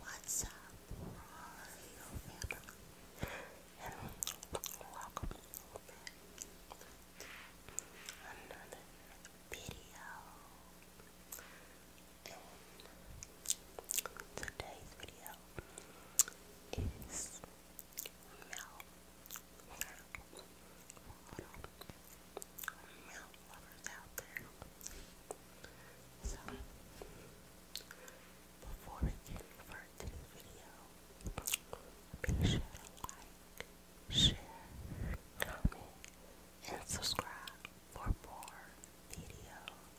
What's up, royal family? Welcome to another video. today's video is milk lovers out there. So, before we get further to video, be sure to like, share, comment, and subscribe for more videos.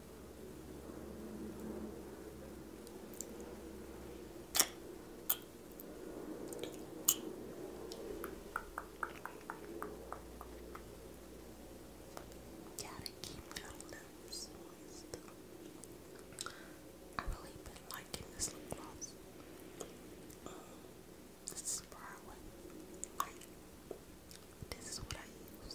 Gotta keep your lips moist. i really been liking this lip gloss. Um, this is a brown one. this is what I use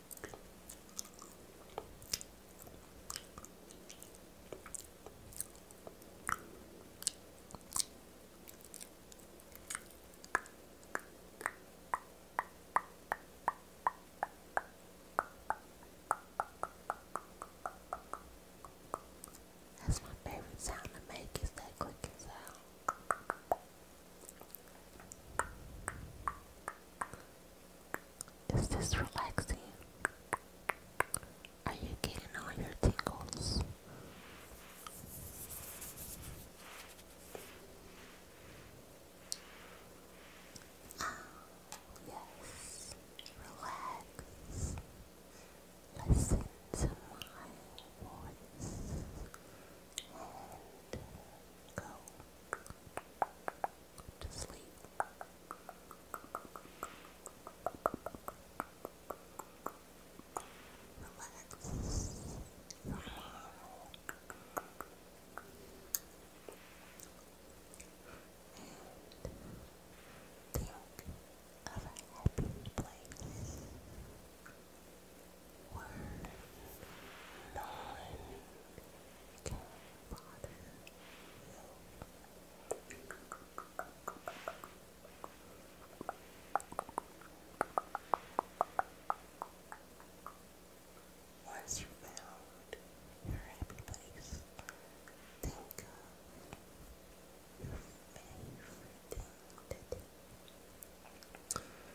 That's my favorite sound to make is that clicking sound. Is this relaxing? Are you getting all your tingles? Ah, yes, relax. Listen to my voice and go to sleep. Relax. think of a happy place word one can bother you. Once you found your happy place, think of your favorite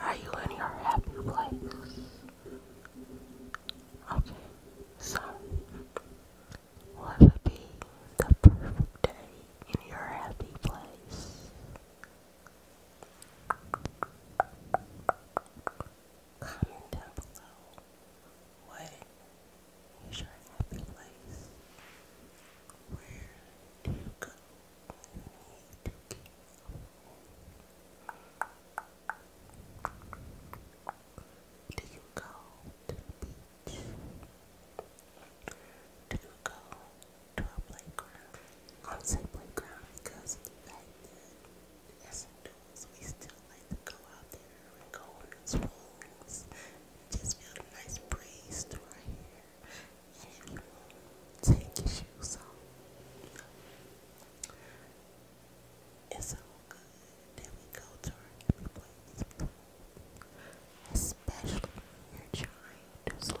Are you in your happy place? Okay, so what it be the perfect day in your happy place. Comment down below what is your happy place? Where do you go do you go to the beach? Do you go to a playground? I don't say playground because back then, as adults, we still like to go out there and go on the swings. Just feel a nice breeze through our hair. And if you take your shoes off. It's all good. Then we go to our every place. Especially when you're trying to sleep.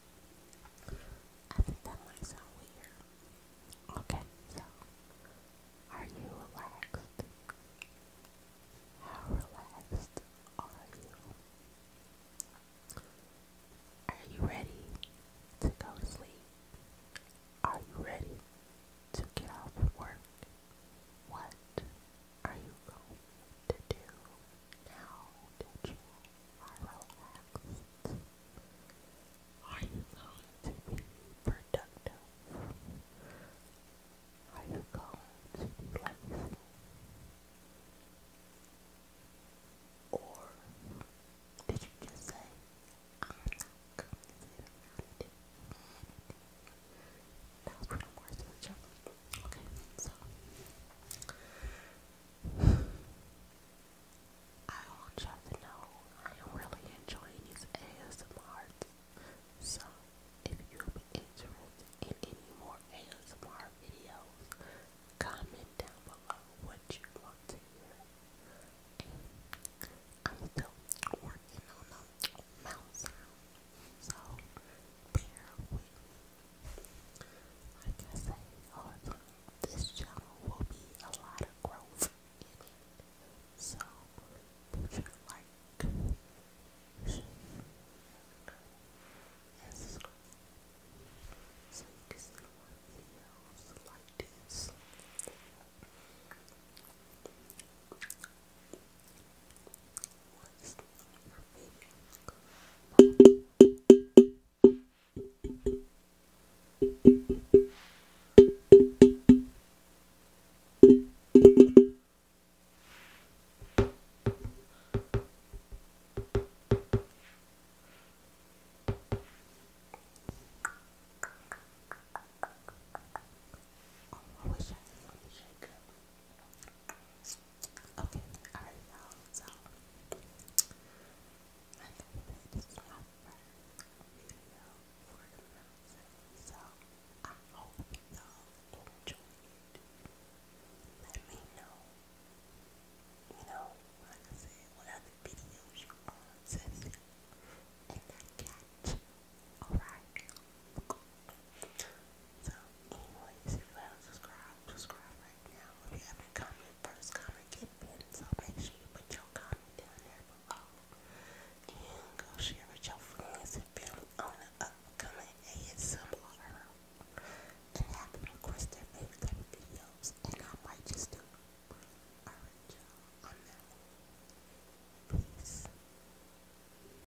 I think that might sound weird. Okay, so are you relaxed? How relaxed are you? Are you ready to go to sleep? Are you ready to get off of work? What are you going to do now that you are Are you going to be productive? Are you going to be lazy? Or did you just say, I'm not going to sit around That was pretty much the job. Okay, so I want you to know I am really enjoying these ASMRs. So if you'd be interested in any more ASMR videos, comment down below what you want to hear. I'm still working on a mouse sound, so bear with me. Like I say this channel will be a lot of growth So, put like, share, and subscribe. So you can like this was her favorite I wish I had a shaker. Okay, alright you so I video for the so I hope y'all enjoyed Let me know, you know, like I said, what other videos you want to see, and I catch, alright? So, anyways, if you subscribe right now. If you haven't comment, first comment get pinned. So make sure you put your comment down there below. go share with your friends and family on the upcoming ASMR. And have them request their favorite type of videos. And I might just do I'm out. Peace.